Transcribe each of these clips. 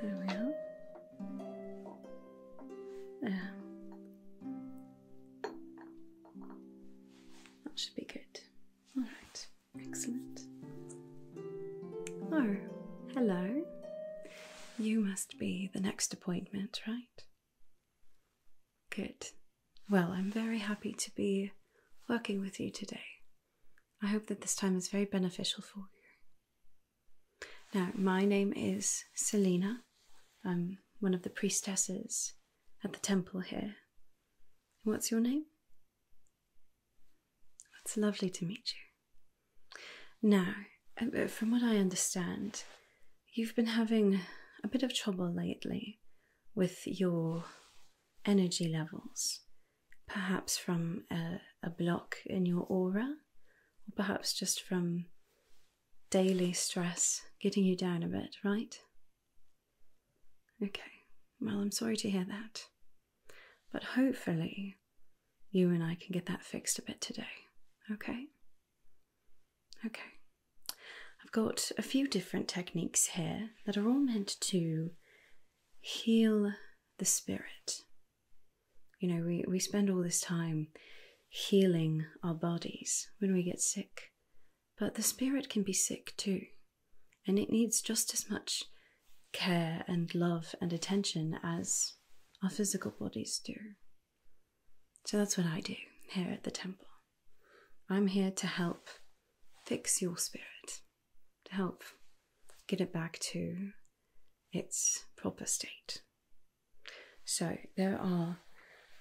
There we are. There. That should be good. All right. Excellent. Oh, hello. You must be the next appointment, right? Good. Well, I'm very happy to be working with you today. I hope that this time is very beneficial for you. Now, my name is Selina. I'm one of the priestesses at the temple here. What's your name? It's lovely to meet you. Now, uh, uh, from what I understand, you've been having a bit of trouble lately with your energy levels, perhaps from a, block in your aura, or perhaps just from daily stress getting you down a bit, right? Okay, well, I'm sorry to hear that. But hopefully, you and I can get that fixed a bit today, okay? Okay. I've got a few different techniques here that are all meant to heal the spirit. You know, we, we spend all this time healing our bodies when we get sick but the spirit can be sick too, and it needs just as much care and love and attention as our physical bodies do. So that's what I do here at the temple. I'm here to help fix your spirit, to help get it back to its proper state. So there are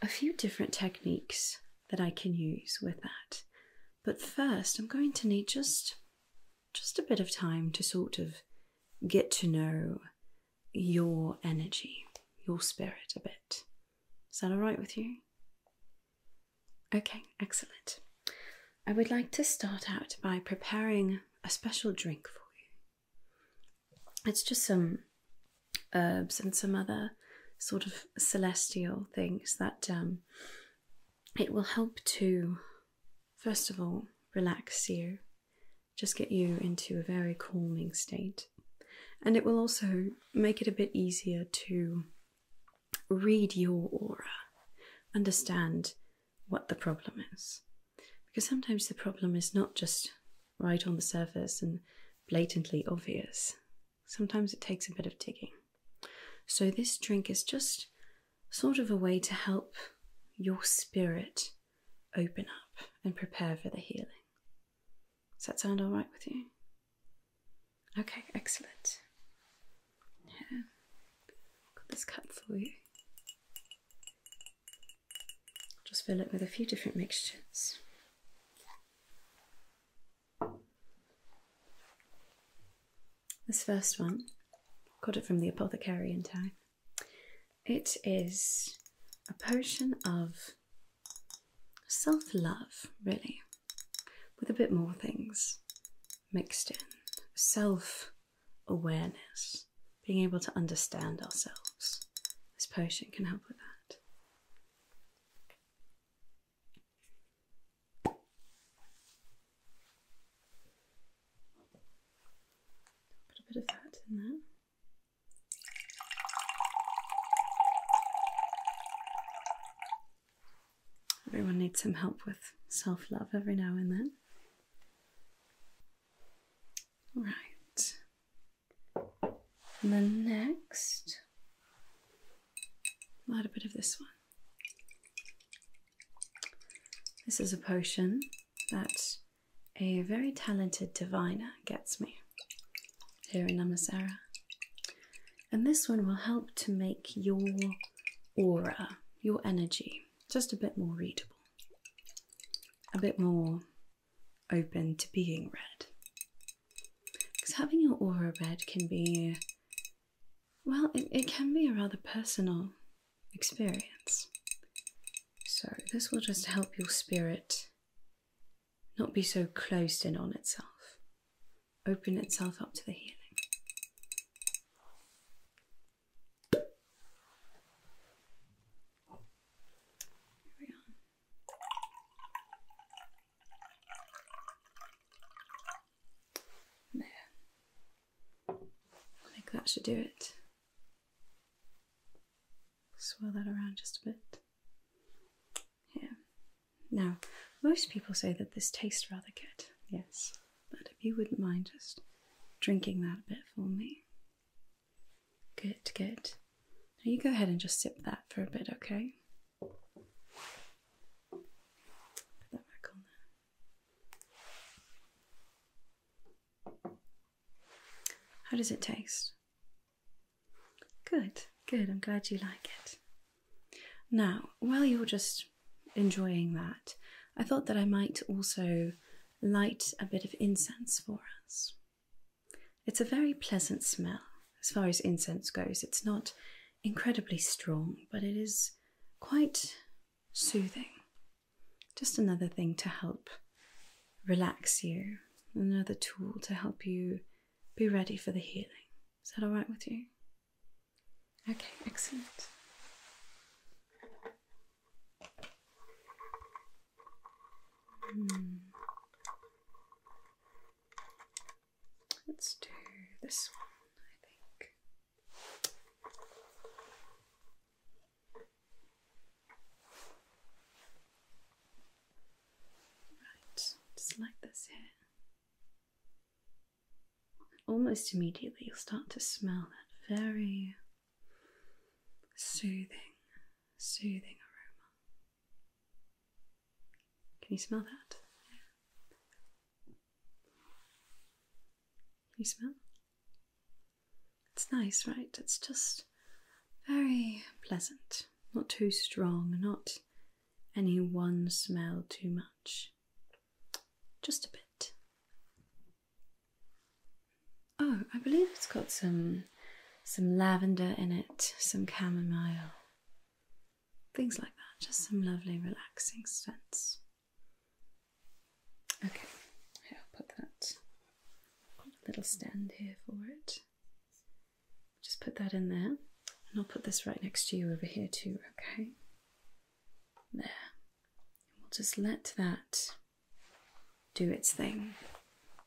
a few different techniques that I can use with that. But first, I'm going to need just just a bit of time to sort of get to know your energy, your spirit a bit. Is that all right with you? Okay, excellent. I would like to start out by preparing a special drink for you. It's just some herbs and some other sort of celestial things that um, it will help to, first of all, relax you, just get you into a very calming state, and it will also make it a bit easier to read your aura, understand what the problem is. Because sometimes the problem is not just right on the surface and blatantly obvious. Sometimes it takes a bit of digging. So, this drink is just sort of a way to help your spirit open up and prepare for the healing. Does that sound all right with you? Okay, excellent. Yeah, got this cut for you. Just fill it with a few different mixtures. This first one, got it from the apothecary in town. It is a potion of self love, really, with a bit more things mixed in. Self awareness, being able to understand ourselves. This potion can help with that. Put a bit of that in there. Everyone needs some help with self love every now and then. Right. And then next, I'll add a bit of this one. This is a potion that a very talented diviner gets me here in Namasara. And this one will help to make your aura, your energy, just a bit more readable, a bit more open to being read. Because having your aura read can be well, it, it can be a rather personal experience. So, this will just help your spirit not be so closed in on itself, open itself up to the healing. There. I think that should do it. Swirl that around just a bit. Yeah. Now, most people say that this tastes rather good, yes. But if you wouldn't mind just drinking that a bit for me. Good, good. Now you go ahead and just sip that for a bit, okay? Put that back on How does it taste? Good, good. I'm glad you like it. Now, while you're just enjoying that, I thought that I might also light a bit of incense for us. It's a very pleasant smell as far as incense goes. It's not incredibly strong, but it is quite soothing. Just another thing to help relax you, another tool to help you be ready for the healing. Is that all right with you? Okay, excellent. Hmm. Let's do this one, I think. Right, select this here. Almost immediately, you'll start to smell that very soothing, soothing aroma. Can you smell that? You smell? It's nice, right? It's just very pleasant. Not too strong, not any one smell too much. Just a bit. Oh, I believe it's got some some lavender in it, some chamomile things like that, just some lovely relaxing scents. Okay, I'll put that little stand here for it. Just put that in there, and I'll put this right next to you over here too, okay? There. we'll just let that do its thing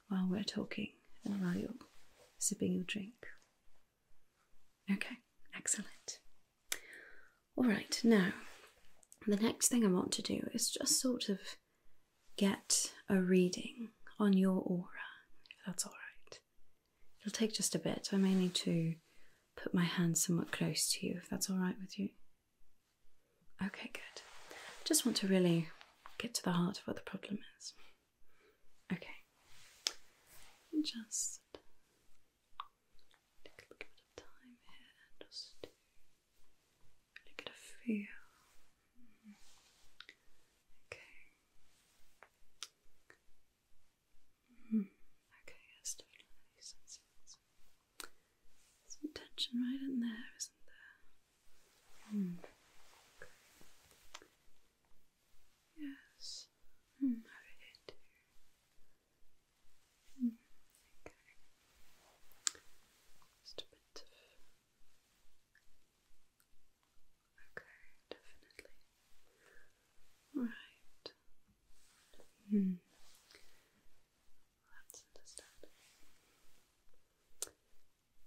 while we're talking and while you're sipping your drink. Okay, excellent. All right, now the next thing I want to do is just sort of get a reading on your aura, if that's all right. It'll take just a bit. I may need to put my hand somewhat close to you, if that's all right with you. Okay, good. Just want to really get to the heart of what the problem is. Okay. Just Take a mm. little bit of time here just really get feel. Okay. Okay, yes, definitely some Some tension right in there, isn't there? Mm. Yes, mm, okay. Just a bit of. Okay, definitely. Right. Hmm. That's understandable.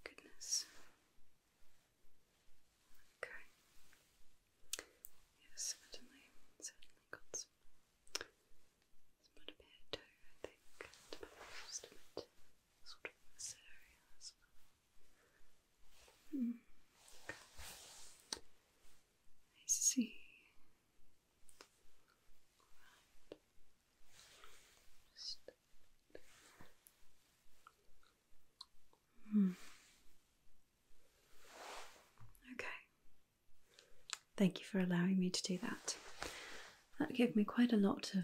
Goodness. Okay. Yes, certainly, certainly got some. It's not a bit of I think, sort of this hmm, I see. Right. Hmm. Okay. Thank you for allowing me to do that. That gave me quite a lot of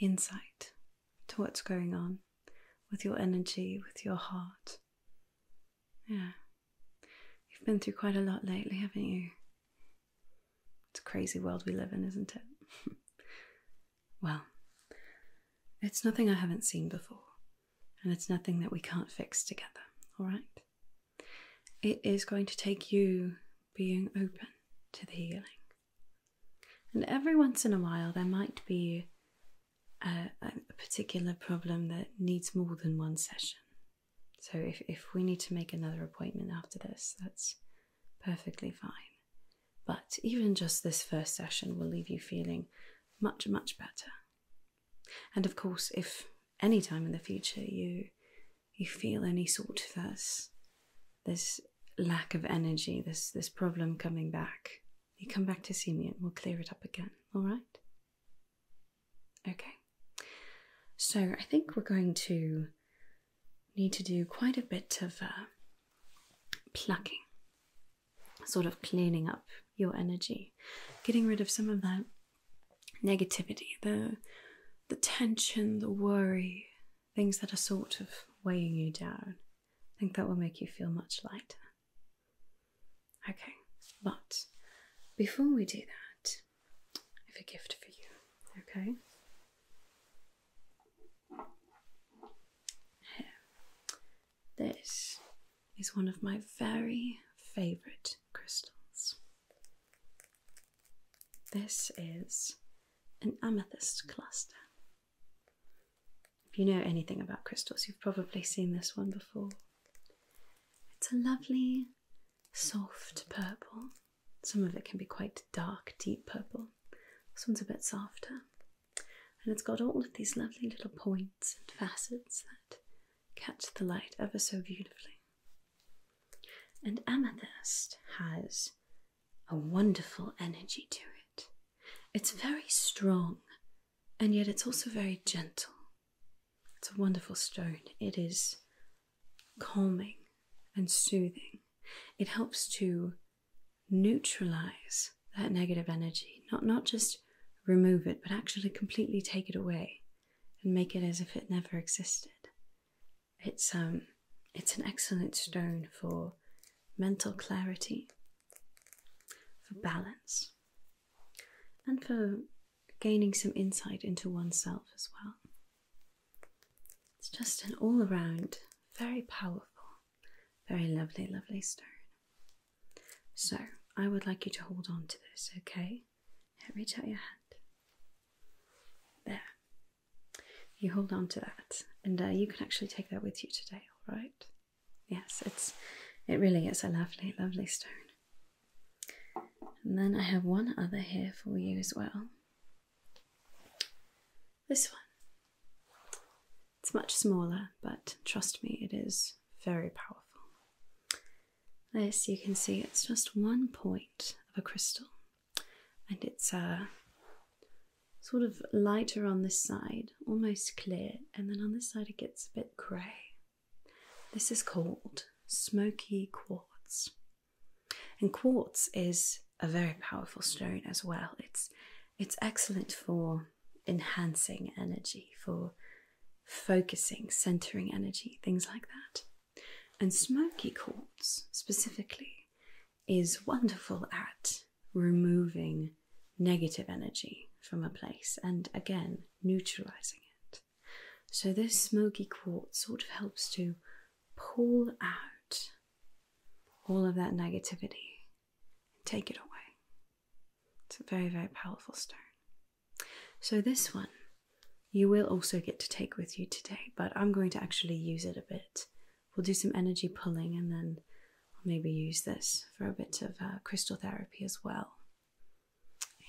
insight to what's going on with your energy, with your heart. Yeah. You've been through quite a lot lately, haven't you? It's a crazy world we live in, isn't it? well, it's nothing I haven't seen before and it's nothing that we can't fix together, all right? It is going to take you being open to the healing. And every once in a while, there might be a, particular problem that needs more than one session. So, if, if we need to make another appointment after this, that's perfectly fine. But even just this first session will leave you feeling much, much better and of course, if any time in the future you you feel any sort of this this lack of energy, this this problem coming back, you come back to see me and we'll clear it up again. All right? Okay. So I think we're going to need to do quite a bit of uh, plucking sort of cleaning up your energy, getting rid of some of that negativity, the the tension, the worry, things that are sort of weighing you down. I think that will make you feel much lighter. Okay, but before we do that, I have a gift for you, okay? Here. This is one of my very favorite crystals. This is an amethyst cluster. If you know anything about crystals, you've probably seen this one before. It's a lovely, soft purple. Some of it can be quite dark, deep purple. This one's a bit softer and it's got all of these lovely little points and facets that catch the light ever so beautifully. And amethyst has a wonderful energy to it. It's very strong and yet it's also very gentle. It's a wonderful stone. It is calming and soothing. It helps to neutralize that negative energy, not not just remove it, but actually completely take it away and make it as if it never existed. It's um it's an excellent stone for mental clarity, for balance, and for gaining some insight into oneself as well. It's just an all around, very powerful, very lovely, lovely stone. So I would like you to hold on to this, okay? reach out your hand. There. You hold on to that, and uh, you can actually take that with you today, all right? Yes, it's it really is a lovely, lovely stone. And then I have one other here for you as well. This one. It's much smaller, but trust me, it is very powerful. This you can see it's just one point of a crystal, and it's a uh, sort of lighter on this side, almost clear, and then on this side it gets a bit grey. This is called smoky quartz, and quartz is a very powerful stone as well. It's it's excellent for enhancing energy, for focusing, centering energy, things like that. And smoky quartz specifically is wonderful at removing negative energy from a place and again neutralizing it. So, this smoky quartz sort of helps to pull out all of that negativity, take it away. It's a very, very powerful stone. So, this one you will also get to take with you today, but I'm going to actually use it a bit. We'll do some energy pulling and then I'll maybe use this for a bit of uh, crystal therapy as well.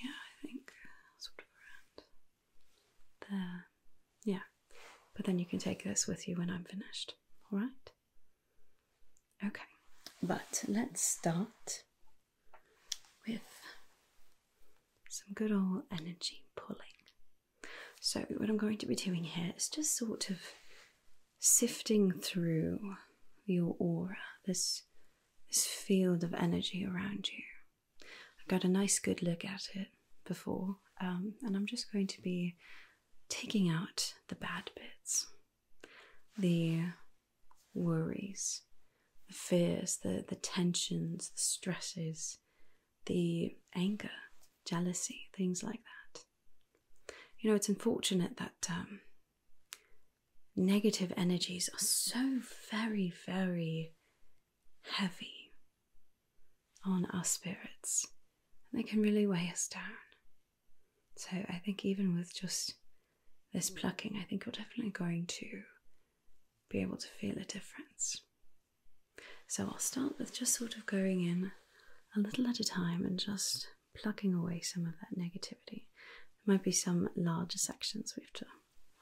Yeah, I think sort of around there. Yeah, but then you can take this with you when I'm finished. All right? Okay, but let's start with some good old energy pulling. So, what I'm going to be doing here is just sort of sifting through your aura, this, this field of energy around you. I've got a nice good look at it before, um, and I'm just going to be taking out the bad bits, the worries, the fears, the, the tensions, the stresses, the anger, jealousy, things like that. You know, it's unfortunate that um, negative energies are so very, very heavy on our spirits, and they can really weigh us down. So I think even with just this mm. plucking, I think you're definitely going to be able to feel a difference. So I'll start with just sort of going in a little at a time and just plucking away some of that negativity. There might be some larger sections we have to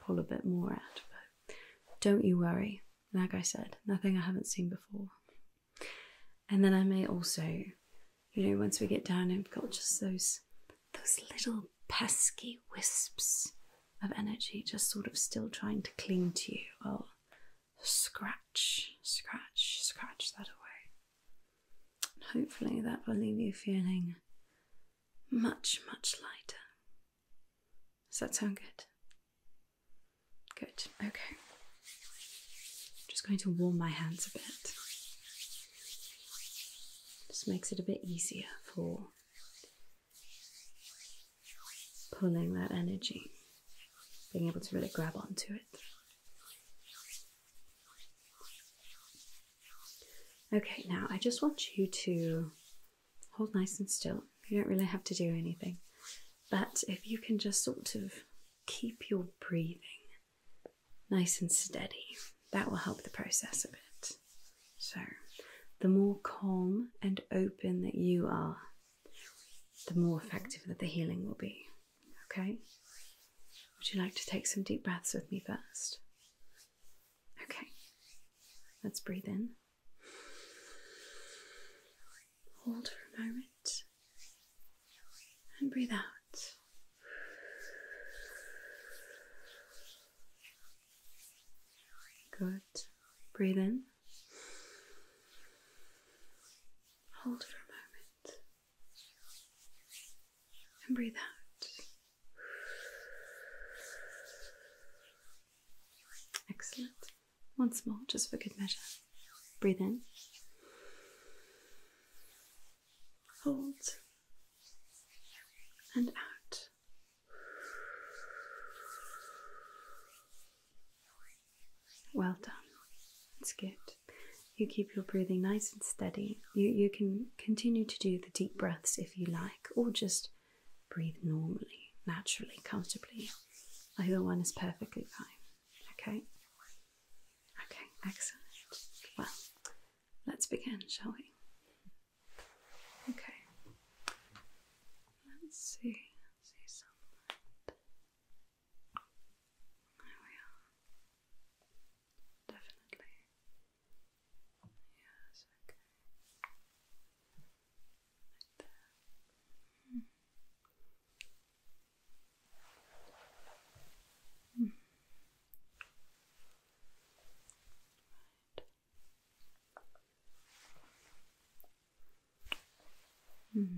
pull a bit more out, but don't you worry. Like I said, nothing I haven't seen before. And then I may also you know, once we get down, and we have got just those those little pesky wisps of energy just sort of still trying to cling to you. I'll oh, scratch, scratch, scratch that away. hopefully that will leave you feeling much, much lighter. Does that sound good? Good, okay. just going to warm my hands a bit. Just makes it a bit easier for pulling that energy, being able to really grab onto it. Okay, now I just want you to hold nice and still. You don't really have to do anything. But if you can just sort of keep your breathing nice and steady. That will help the process a bit. So, the more calm and open that you are, the more effective that the healing will be. Okay? Would you like to take some deep breaths with me first? Okay. Let's breathe in. Hold for a moment and breathe out. Good. Breathe in. Hold for a moment. And breathe out. Excellent. Once more, just for good measure. Breathe in hold and out. Well done. It's good. You keep your breathing nice and steady. You you can continue to do the deep breaths if you like, or just breathe normally, naturally, comfortably. Either one is perfectly fine. Okay? Okay, excellent. Well, Let's begin, shall we? Okay. Let's see. see sunlight. There we are. Definitely. Yes, okay. Right there. Mm. Mm. Right. Mm.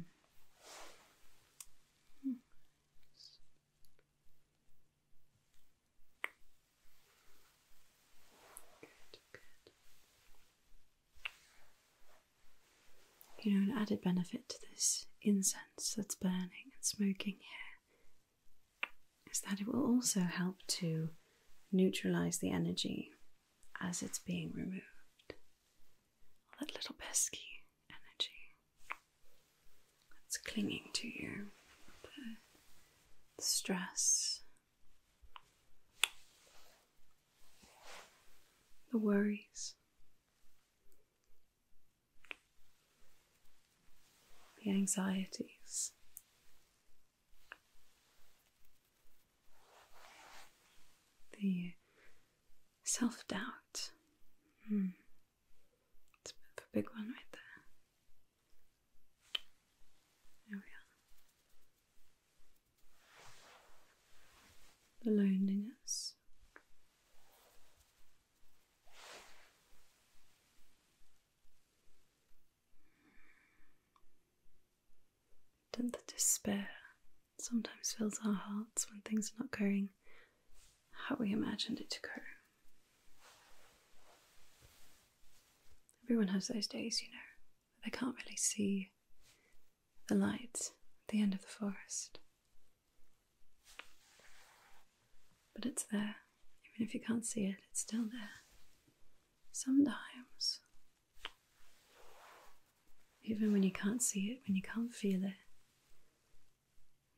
Good, good. You know, an added benefit to this incense that's burning and smoking here is that it will also help to neutralize the energy as it's being removed. All that little pesky energy that's clinging to you, the stress, the worries the anxieties. The self doubt. Hmm. It's a big one right there. There we are. The loneliness. Don't the despair sometimes fills our hearts when things are not going how we imagined it to go? Everyone has those days, you know, they can't really see the light at the end of the forest. But it's there. Even if you can't see it, it's still there. Sometimes, even when you can't see it, when you can't feel it,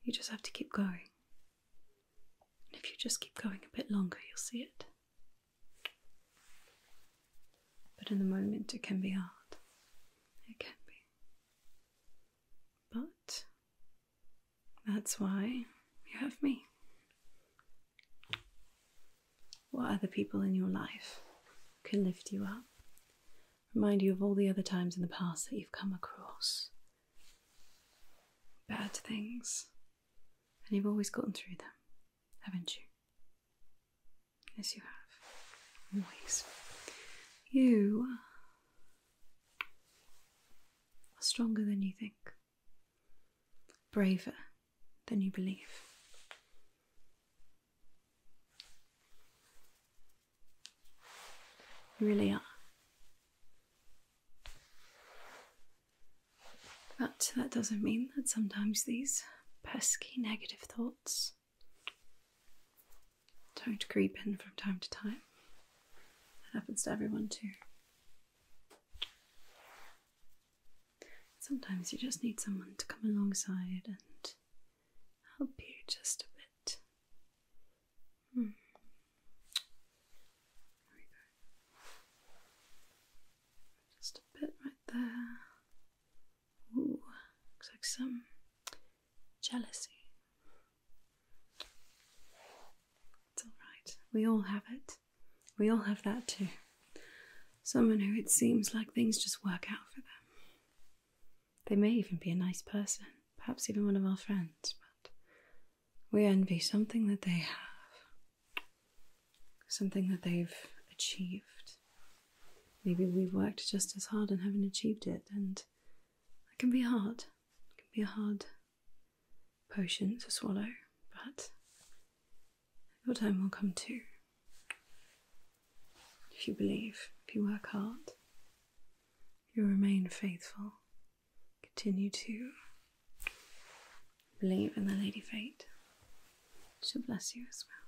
you just have to keep going. And if you just keep going a bit longer, you'll see it. But in the moment, it can be hard. It can be. But that's why you have me. What other people in your life can lift you up? Remind you of all the other times in the past that you've come across bad things, and you've always gotten through them, haven't you? Yes, you have. Always. You are stronger than you think, braver than you believe. You really are. But that doesn't mean that sometimes these pesky negative thoughts don't creep in from time to time. It happens to everyone too. Sometimes you just need someone to come alongside and help you just a bit. Hmm. Just a bit right there. Ooh, looks like some jealousy. It's alright. We all have it. We all have that too. Someone who it seems like things just work out for them. They may even be a nice person, perhaps even one of our friends, but we envy something that they have, something that they've achieved. Maybe we've worked just as hard and haven't achieved it, and it can be hard. It can be hard potion to swallow, but your time will come too. If you believe, if you work hard, if you remain faithful, continue to believe in the Lady Fate. She'll bless you as well.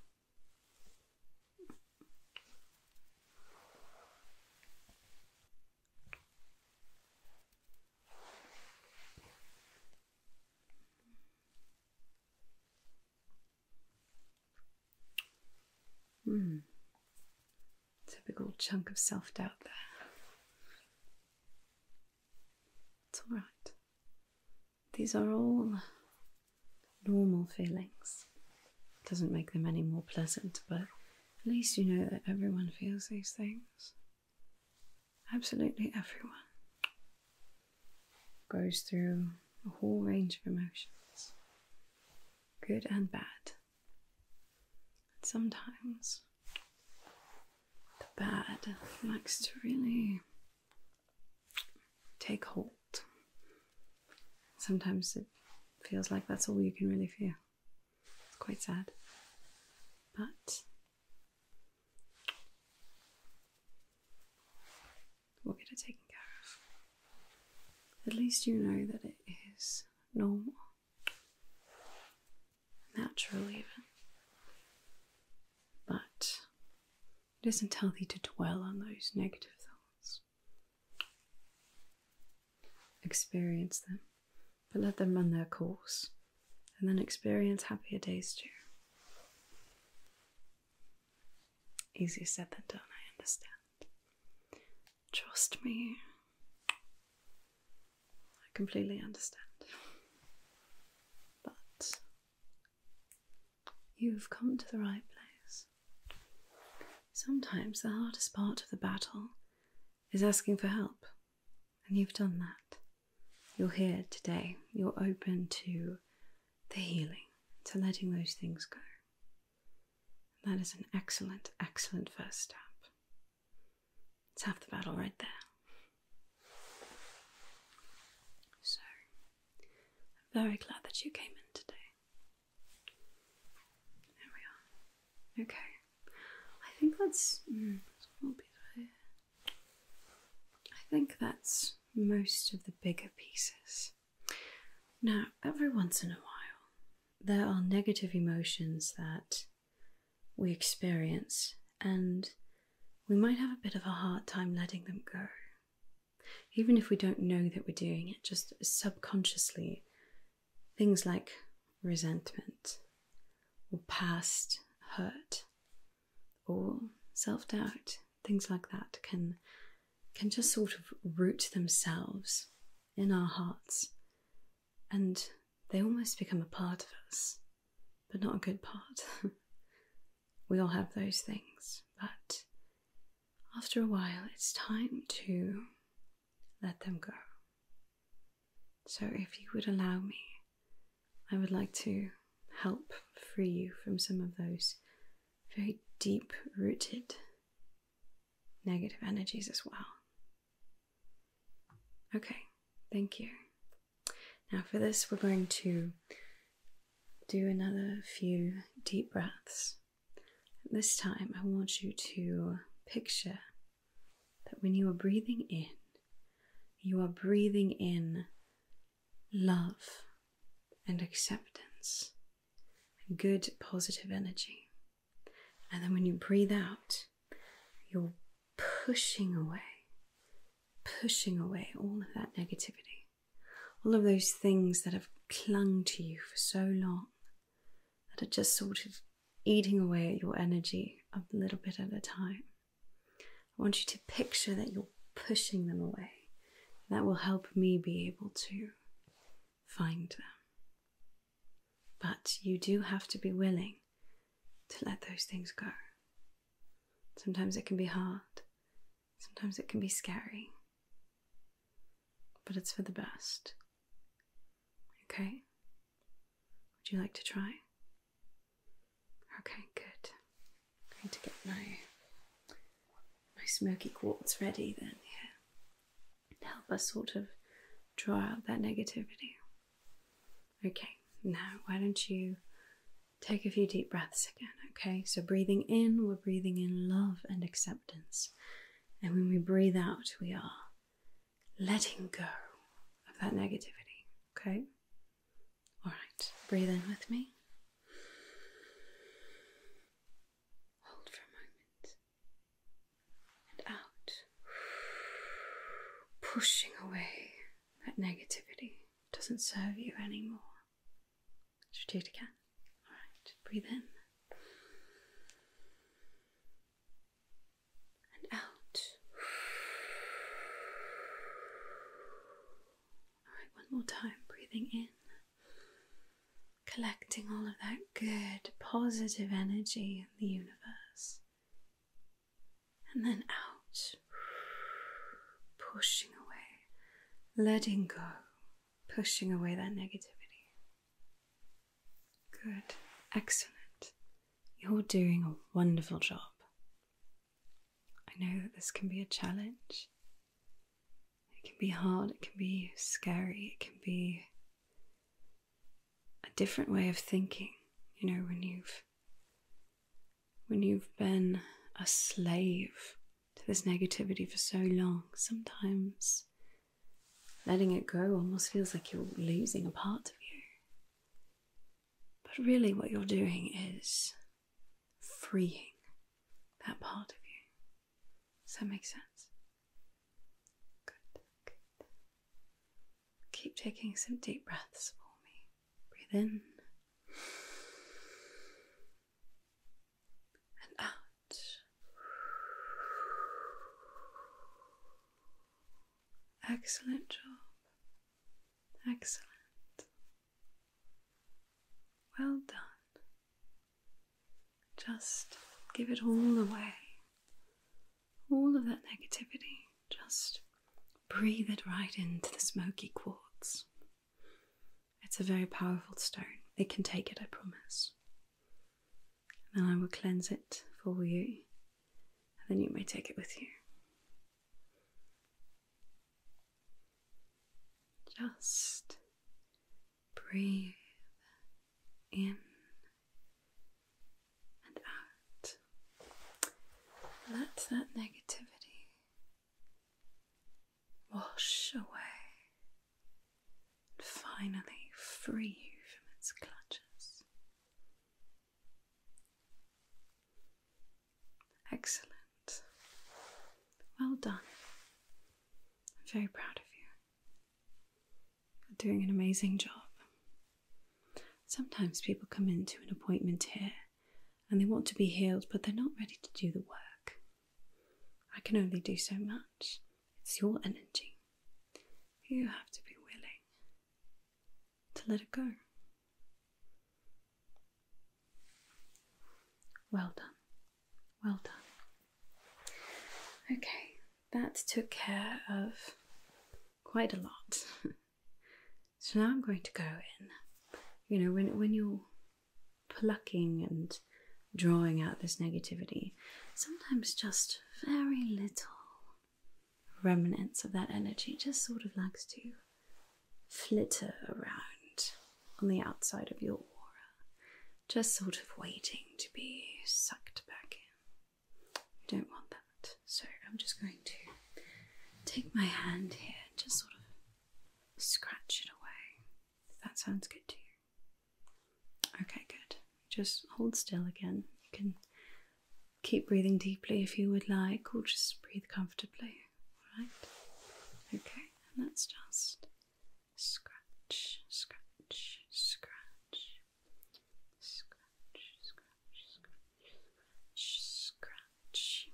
Hmm. It's a big old chunk of self doubt there. It's all right. These are all normal feelings. Doesn't make them any more pleasant, but at least you know that everyone feels these things. Absolutely everyone goes through a whole range of emotions, good and bad. sometimes the bad likes to really take hold. Sometimes it feels like that's all you can really feel. It's quite sad. But we'll get it taken care of. At least you know that it is normal, natural, even. But it isn't healthy to dwell on those negative thoughts experience them, but let them run their course and then experience happier days too. Easier said than done, I understand. Trust me, I completely understand. But you've come to the right place. Sometimes the hardest part of the battle is asking for help and you've done that. You're here today. You're open to the healing, to letting those things go. That is an excellent, excellent first step. It's half the battle right there. So, I'm very glad that you came in today. There we are. Okay. I think that's. Mm, I think that's most of the bigger pieces. Now, every once in a while, there are negative emotions that we experience, and we might have a bit of a hard time letting them go. Even if we don't know that we're doing it, just subconsciously, things like resentment or past hurt or self-doubt things like that can can just sort of root themselves in our hearts and they almost become a part of us but not a good part we all have those things but after a while it's time to let them go. So, if you would allow me, I would like to help free you from some of those very deep rooted negative energies as well. Okay, thank you. Now, for this, we're going to do another few deep breaths. This time, I want you to picture that when you are breathing in, you are breathing in love and acceptance good positive energy. And then when you breathe out, you're pushing away, pushing away all of that negativity, all of those things that have clung to you for so long that are just sort of eating away at your energy a little bit at a time. I want you to picture that you're pushing them away. That will help me be able to find them. But you do have to be willing to let those things go. Sometimes it can be hard, sometimes it can be scary, but it's for the best. Okay. Would you like to try? Okay, good. I'm going to get my my smoky quartz ready then Yeah. Help us sort of draw out that negativity. Okay, now why don't you take a few deep breaths again, okay? So breathing in, we're breathing in love and acceptance. And when we breathe out, we are letting go of that negativity. Okay? All right, breathe in with me. Hold for a moment and out, pushing away that negativity. Doesn't serve you anymore. Should do it again. All right, breathe in and out. Alright, one more time. Breathing in, collecting all of that good, positive energy in the universe, and then out, pushing away, letting go, pushing away that negativity. Good. Excellent. You're doing a wonderful job. I know that this can be a challenge. It can be hard, it can be scary, it can be a different way of thinking, you know, when you've when you've been a slave to this negativity for so long, sometimes letting it go almost feels like you're losing a part of you. But really, what you're doing is freeing that part of you. Does that make sense? Good, Keep taking some deep breaths for me. Breathe in and out. Excellent job. Excellent. Well done. Just give it all away. All of that negativity. Just breathe it right into the smoky quartz. It's a very powerful stone. It can take it, I promise. And I will cleanse it for you then you may take it with you. Just breathe in and out. Let that negativity wash away and finally free you from its clutches. Excellent. Well done. I'm very proud of you. You're doing an amazing job. Sometimes people come into an appointment here and they want to be healed, but they're not ready to do the work. I can only do so much. It's your energy. You have to be willing to let it go. Well done. Well done. Okay, that took care of quite a lot. so now I'm going to go in. You know, when, when you're plucking and drawing out this negativity, sometimes just very little remnants of that energy just sort of likes to flitter around on the outside of your aura, just sort of waiting to be sucked back in. You don't want that. So I'm just going to take my hand here just sort of scratch it away. that sounds good to you. Okay, good. Just hold still again. You can keep breathing deeply if you would like, or just breathe comfortably. All right? Okay, and let's just scratch, scratch, scratch, scratch, scratch, scratch, scratch,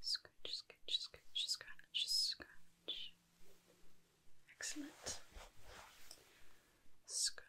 scratch, scratch, scratch, scratch, Excellent. Scratch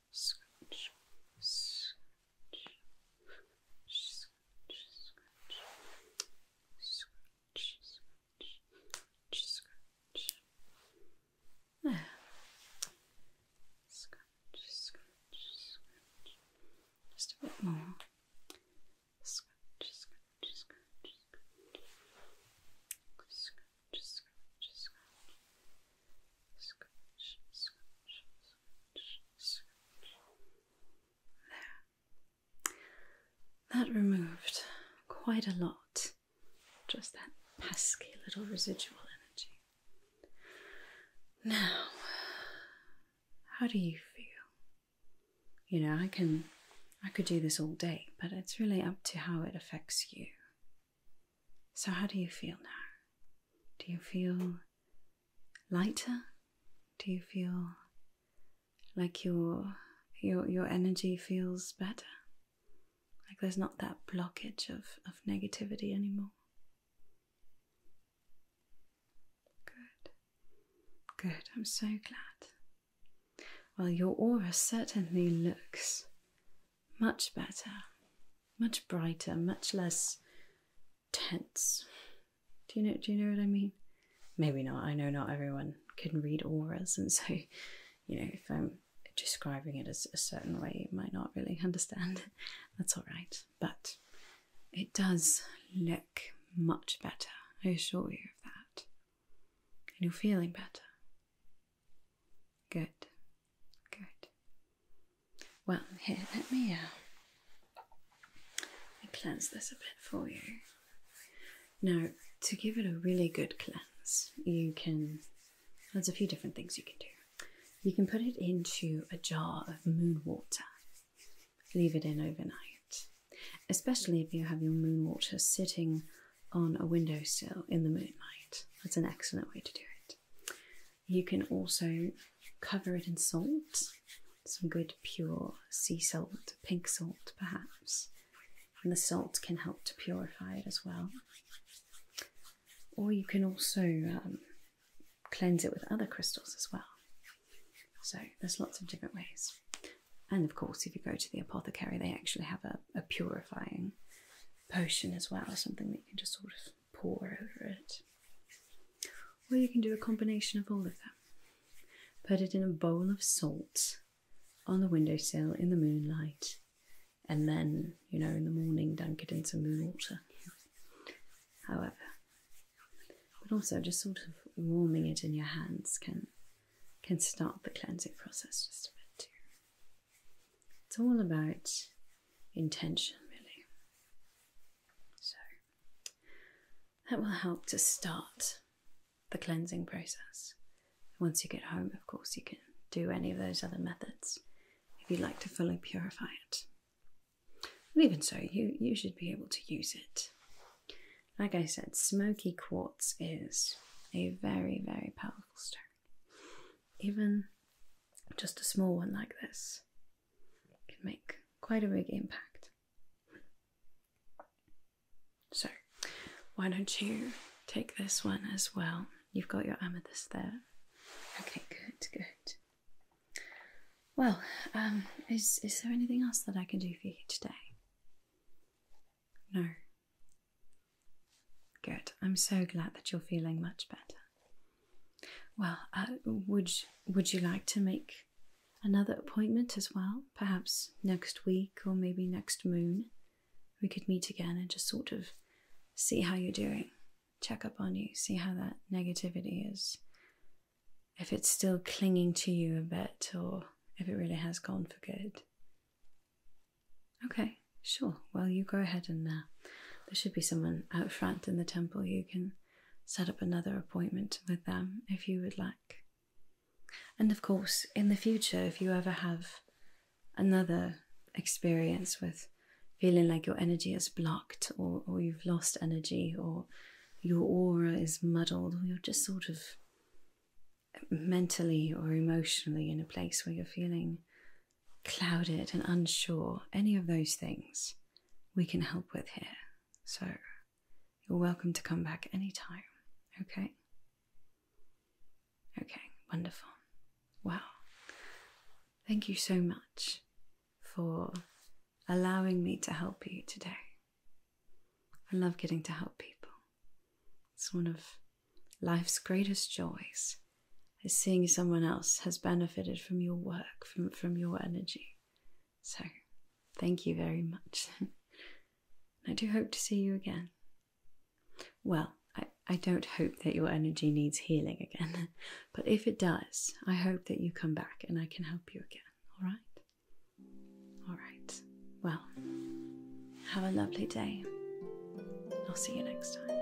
scratch, scratch, scratch, scratch, scratch, scratch. There. Scratch, scratch, scratch. Just a bit more. Scratch, scratch, scratch, scratch. Scratch, scratch, scratch. Scratch, scratch, that removed quite a lot. Just that pesky little residual energy. Now, how do you feel? You know, I can I could do this all day, but it's really up to how it affects you. So how do you feel now? Do you feel lighter? Do you feel like your your your energy feels better? Like there's not that blockage of, of negativity anymore. Good. Good. I'm so glad. Well, your aura certainly looks much better much brighter, much less tense. Do you know do you know what I mean? Maybe not. I know not everyone can read auras and so you know if I'm describing it as a certain way you might not really understand. That's all right. But it does look much better. I assure you of that. And you're feeling better. Good. Good. Well, here, let me, uh, cleanse this a bit for you. Now, to give it a really good cleanse, you can. There's a few different things you can do. You can put it into a jar of moon water, leave it in overnight, especially if you have your moon water sitting on a windowsill in the moonlight. That's an excellent way to do it. You can also cover it in salt, some good pure sea salt, pink salt perhaps, and the salt can help to purify it as well. Or you can also um, cleanse it with other crystals as well. So there's lots of different ways. And of course, if you go to the apothecary, they actually have a, a purifying potion as well, or something that you can just sort of pour over it. Or you can do a combination of all of them. Put it in a bowl of salt on the windowsill in the moonlight, and then, you know, in the morning, dunk it in some moon water. However, but also just sort of warming it in your hands can can start the cleansing process just a bit too. It's all about intention, really. So that will help to start the cleansing process. Once you get home, of course, you can do any of those other methods if you'd like to fully purify it. And even so, you, you should be able to use it. Like I said, smoky quartz is a very, very powerful stone. Even just a small one like this can make quite a big impact. So, why don't you take this one as well? You've got your amethyst there. Okay, good, good. Well, um, is, is there anything else that I can do for you today? No. Good. I'm so glad that you're feeling much better. Well, uh, would would you like to make another appointment as well? Perhaps next week or maybe next moon, we could meet again and just sort of see how you're doing, check up on you, see how that negativity is, if it's still clinging to you a bit, or if it really has gone for good. Okay, sure. Well, you go ahead and uh, there should be someone out front in the temple you can set up another appointment with them if you would like. And of course, in the future, if you ever have another experience with feeling like your energy is blocked or, or you've lost energy or your aura is muddled or you're just sort of mentally or emotionally in a place where you're feeling clouded and unsure, any of those things, we can help with here. So you're welcome to come back anytime, okay? Okay, wonderful. Wow. Thank you so much for allowing me to help you today. I love getting to help people. It's one of life's greatest joys as seeing someone else has benefited from your work, from, from your energy. So, thank you very much. I do hope to see you again. Well, I, I don't hope that your energy needs healing again, but if it does, I hope that you come back and I can help you again, all right? All right. Well, have a lovely day. I'll see you next time.